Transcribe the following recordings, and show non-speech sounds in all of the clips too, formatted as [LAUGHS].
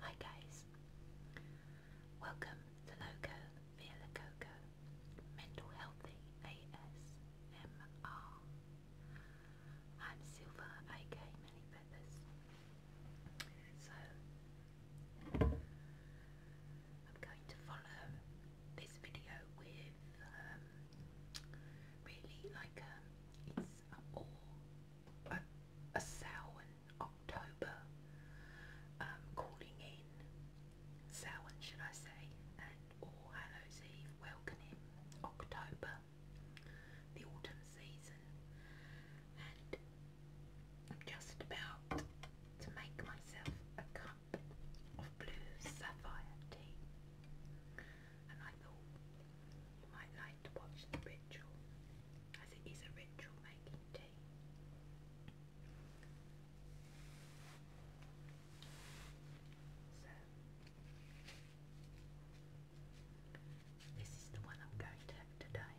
Hi guys, welcome to Loco via La Mental Healthy ASMR. I'm Silver, aka Many Feathers. So, I'm going to follow this video with um, really like a, um, it's a a, a sale October, um, calling in, Samhain should I say, and All Hallows welcoming October, the autumn season, and just about to make myself a cup of blue sapphire tea and I thought you might like to watch the ritual, as it is a ritual making tea. this is the one I'm going to have today.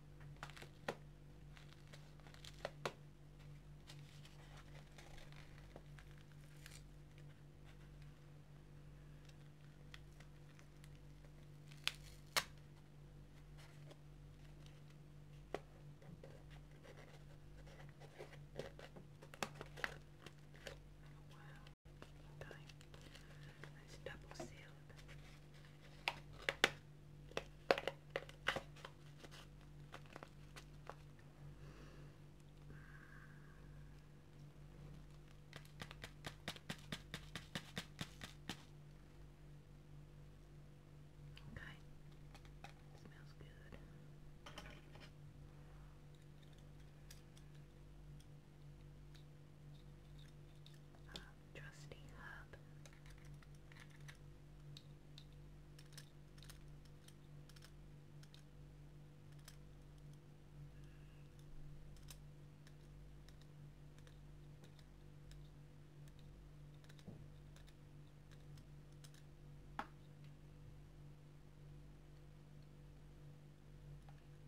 Wow. It's double sealed. Okay. Smells good um, trusty hub.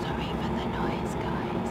Sorry for the noise, guys.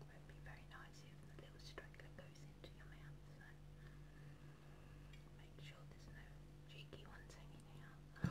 Won't be very nice if the little straggler goes into your mouth, so make sure there's no cheeky ones hanging out.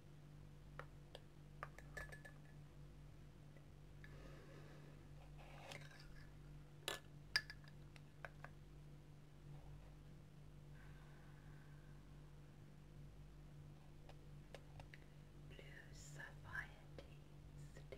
Blue Sapphire Tea Steam. Blue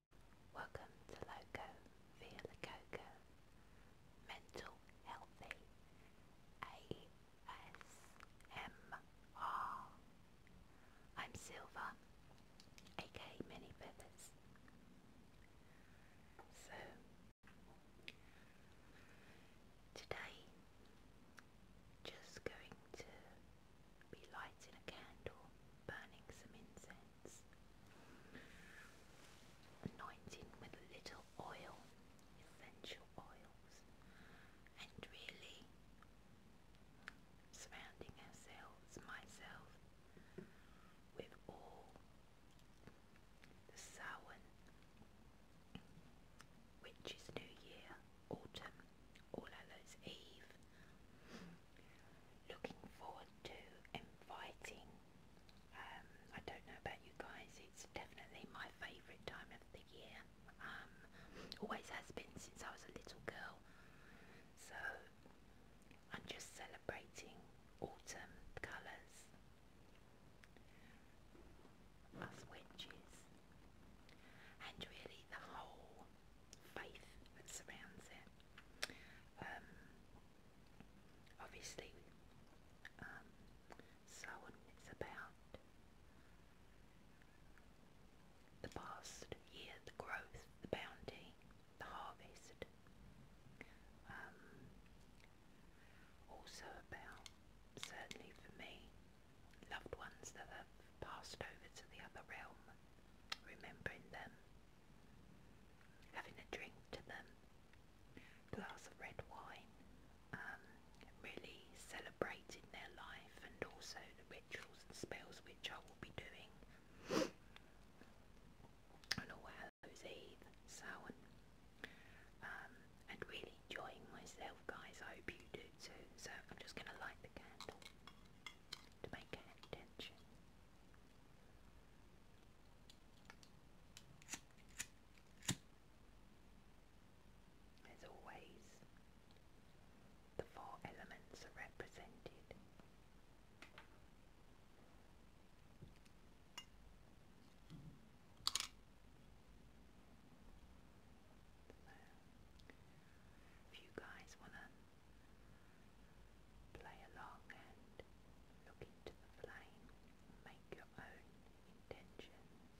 Welcome to Loco Via Lococo Mental Healthy ASMR. am Silver, aka Mini Feathers. So, today, just going to be lighting a candle, burning some incense. Anointing with little oil, essential oils, and really surrounding ourselves, myself, with all the Samhain, which is New Year, autumn, All Hallows Eve, looking forward to inviting. Um, I don't know about you guys, it's definitely my favourite time of the year. Um, always has been since I was a little girl. So I'm just celebrating autumn colours. Us witches. And really the whole faith that surrounds it. Um, obviously um, Samhain about the past year, the growth, the bounty, the harvest. Um, also about, certainly for me, loved ones that have passed over to the other realm, remembering them having a drink to them, glass of red wine, um, really celebrating their life and also the rituals and spells which I will be doing on All Hallows Eve, Samhain, um, and really enjoying myself guys, I hope you do too, so I'm just going to light the candle to make an intention. As always, the four elements are represented. If you guys want to Play along and look into the flame make your own intentions.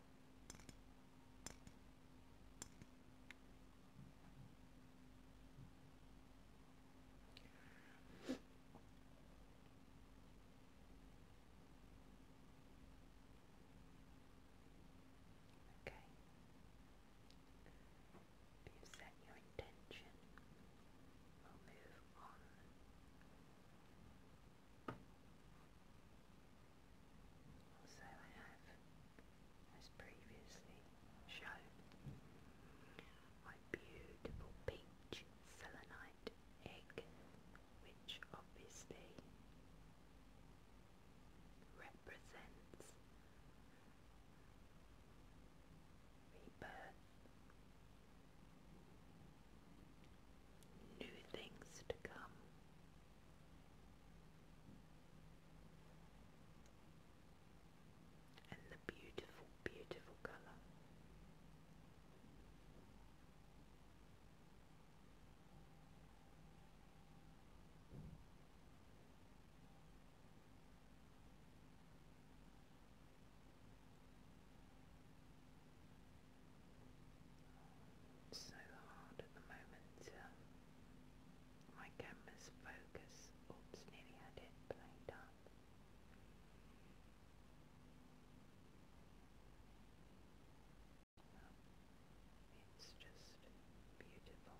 Okay. If you set your intention, we'll move on. Also I have, as previously shown, my beautiful peach selenite egg, which obviously represents new things to come, and the beautiful, beautiful colour. so hard at the moment. Um, my camera's focus. Oops, nearly had it blamed up. It's just beautiful.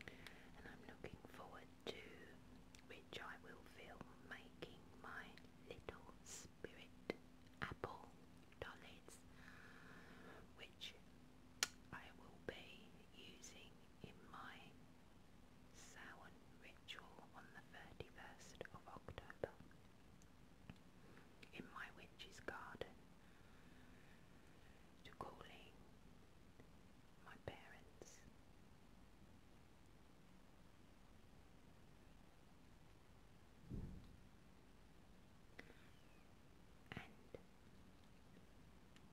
And I'm looking forward to which I will film making my little spirit apple dollars, which I will be using in my Samhain ritual on the 31st of October in my witch's garden to calling my parents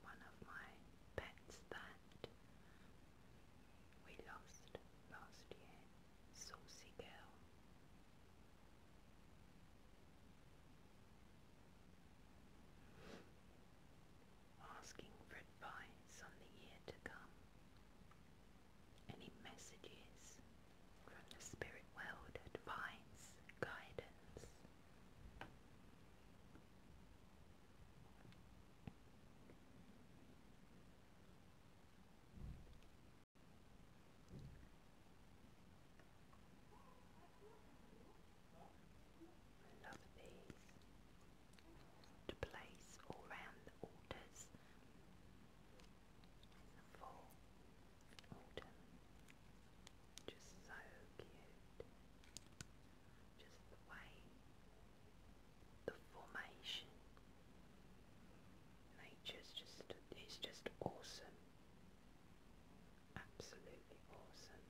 one of my pets that we lost last year, Saucy Girl. Asking for advice on the year to come. Any messages from the spirit world, advice, guidance. Love these to place all round the altars in the just so cute. Just the way the formation. Nature's just it's just awesome. Absolutely awesome.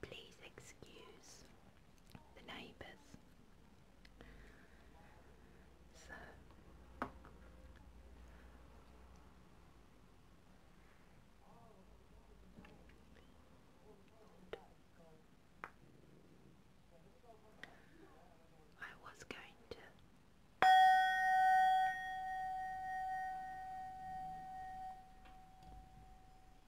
Please excuse the neighbours. I was going to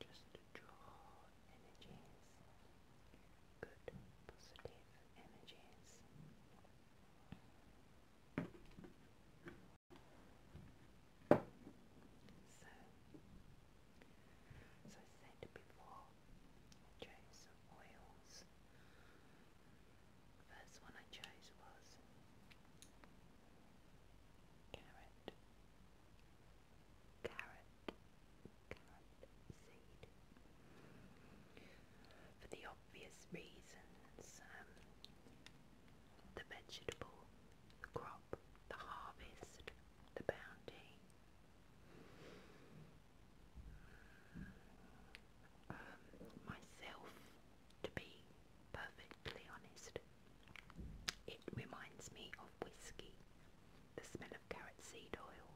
Just to draw energies, good positive energies. So, as I said before, I chose oils. first one I chose was carrot for the obvious reasons, um, the vegetable, the crop, the harvest, the bounty. Um, myself, to be perfectly honest, it reminds me of whiskey, the smell carrot seed oil.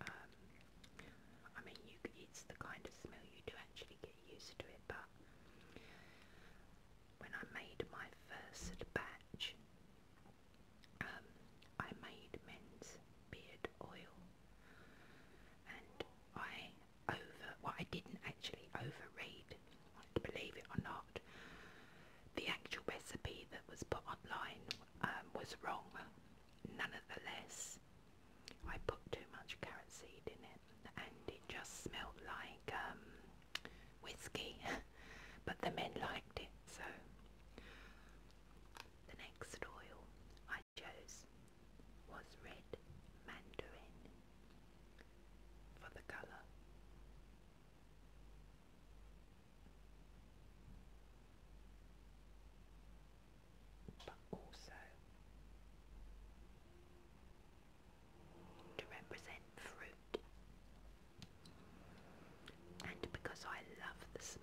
Um, I mean, you, it's the kind of smell you do actually get used to it, but when I made my first batch, um, I made men's beard oil, and I over well I didn't actually overread. Believe it or not, the actual recipe that was put online um, was wrong. None of the less, I put too much carrot seed in it, and it just smelt like um, whiskey, [LAUGHS] but the men liked it, so the next oil I chose was red mandarin for the colour. But also to represent fruit and because I love the smell.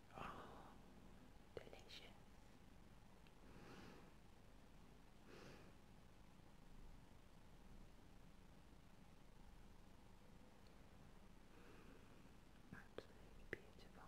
Oh, delicious. Absolutely beautiful.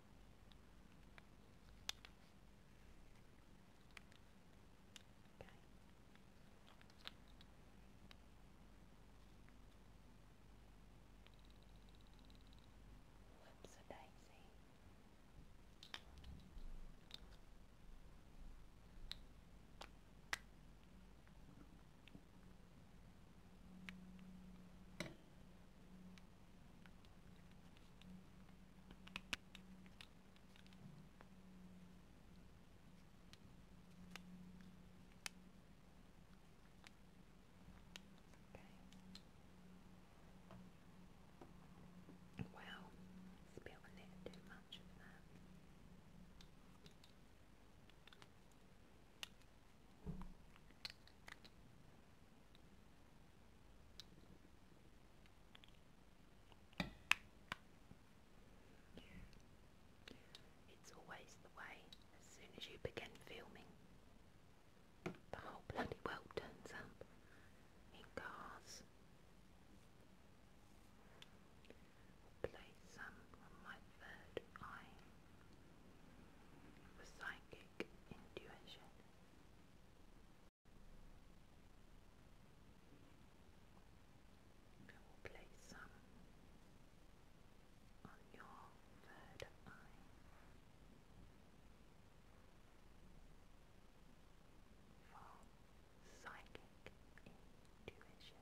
Okay. Whoops, a daisy. Okay. Okay. Well, spilling it too much of that. It's always the way as soon as you begin filming. The whole bloody world turns up in cars. play some my third eye psychic intuition. I will place some on your third eye. For psychic intuition,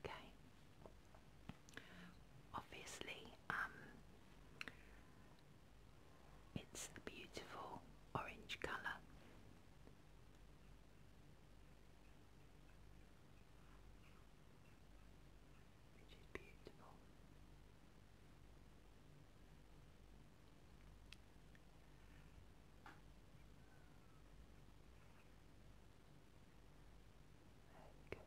Okay. Obviously, um, it's the beautiful orange colour. Which beautiful. Like, it's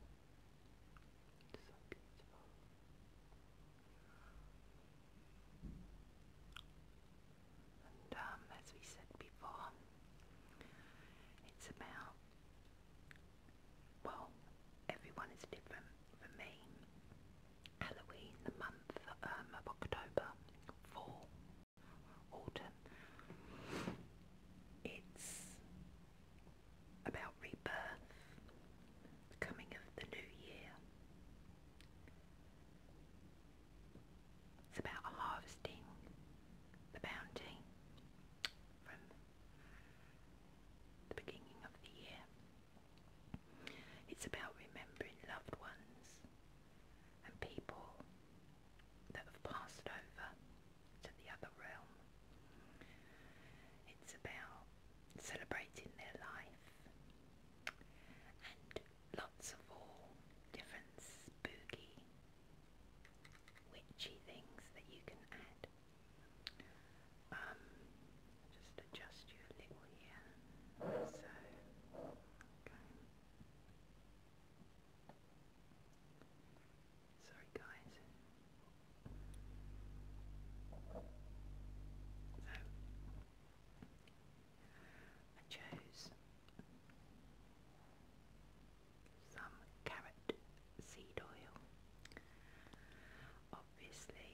um, as we said before, it's about, well, everyone is different. For me, Halloween, the month um, of October, fall autumn. It's about rebirth, coming of the new year. It's about harvesting the bounty from the beginning of the year. It's about remembering loved ones and people that have passed over to the other realm. It's about celebrating their life and lots of all different spooky, witchy things that you can add. Um, just adjust you a little here. So, okay. Sorry guys. So I chose some carrot seed oil. Obviously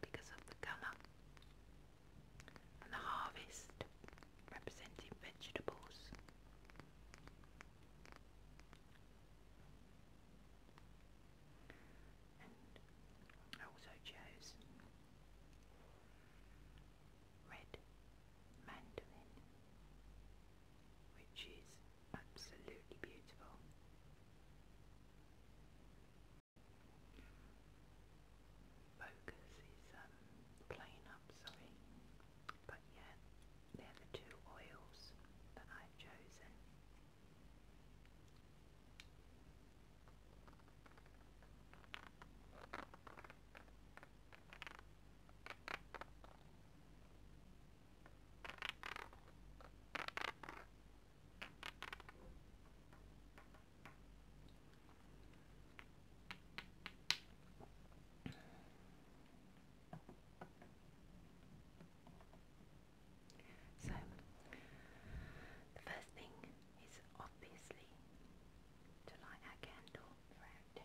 because of the colour and the harvest representing vegetables. I also chose red mandarin, which is absolutely beautiful. Bocas is um, plain up, sorry. But yeah, they're the two oils that I've chosen. So, the first thing is obviously to light our candle for our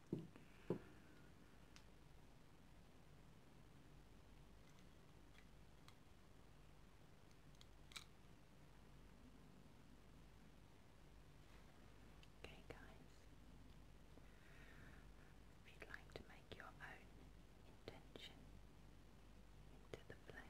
Okay, guys, if you'd like to make your own intention into the flame.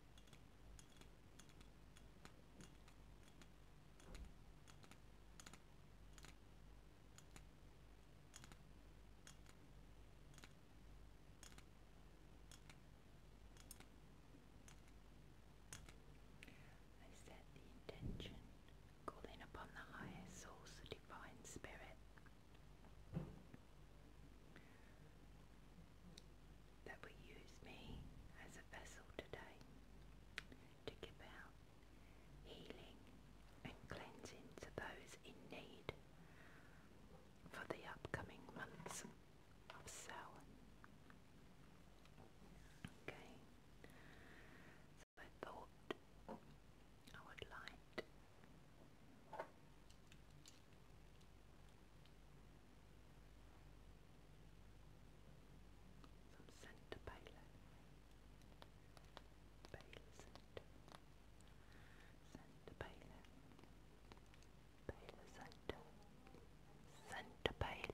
I set the intention, calling upon the higher source, the divine spirit, that will use me as a vessel today to give out healing and cleansing to those in need for the upcoming months of Samhain. Okay, so I thought I would light some Santa Bailey. Bailey Santa. Santa Bailey. Bailey Santa. Santa Bailey.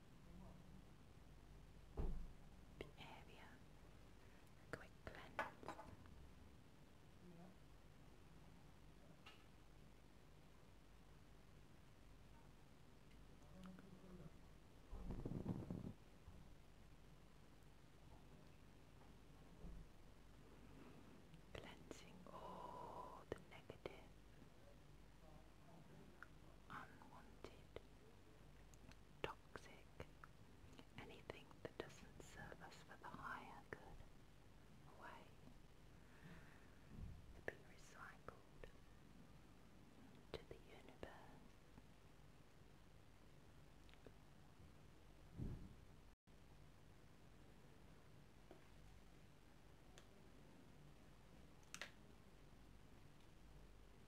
area. A quick cleanse. Cleansing all the negative, unwanted toxic, anything that doesn't serve us for the higher good, away be recycled to the universe.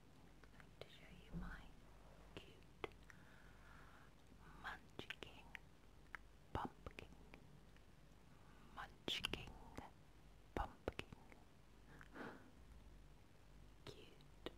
going to show you my cute munchkin pumpkin munchkin pumpkin cute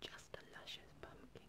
Just a luscious pumpkin.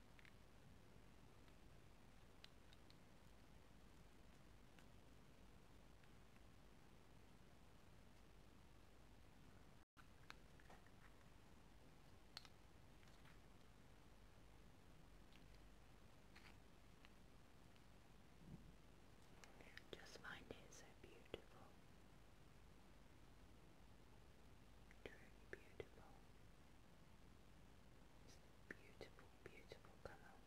Just find it so beautiful. Truly beautiful. Beautiful, beautiful colour.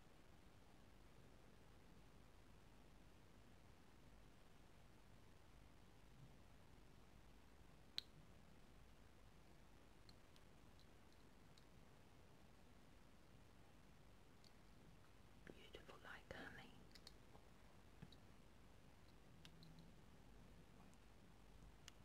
Beautiful like honey.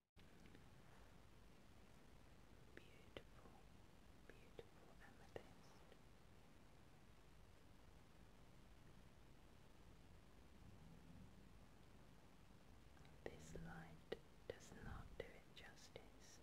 Beautiful, beautiful amethyst. This light does not do it justice.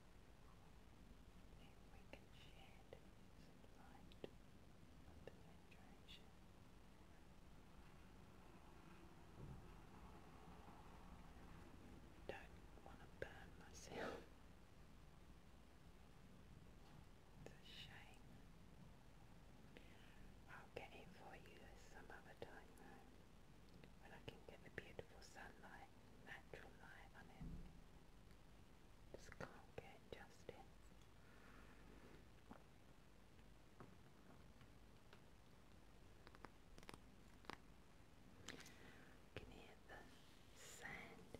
If we can shed the situation. Don't want to burn myself. It's a shame. I'll get it for you some other time when I can get the beautiful sunlight light, natural light on it. Just can't get justice. Can you hear the sand?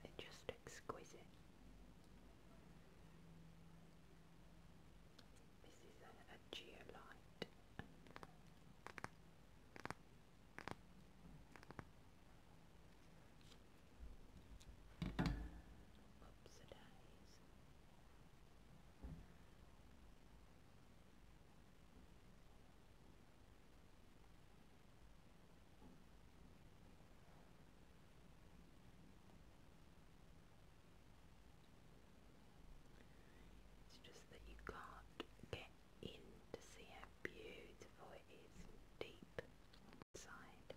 they just exquisite. This is a geolite. Whoops, it is. It's just that you can't get in to see how beautiful it is deep inside.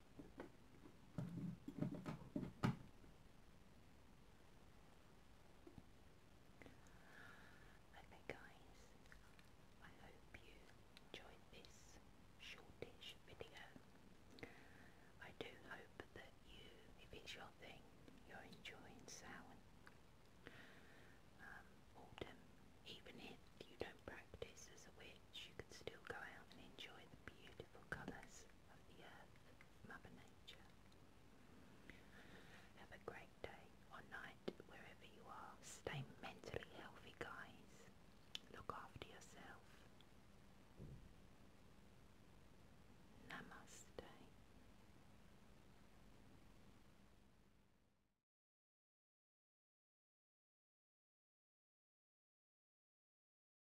Okay guys, I hope you enjoyed this shortish video. I do hope that you, if it's your thing, you're enjoying sowing. Um, autumn, even if you don't practice as a witch, you can still go out and enjoy the beautiful colours have a great day or night wherever you are. Stay mentally healthy, guys. Look after yourself. Namaste.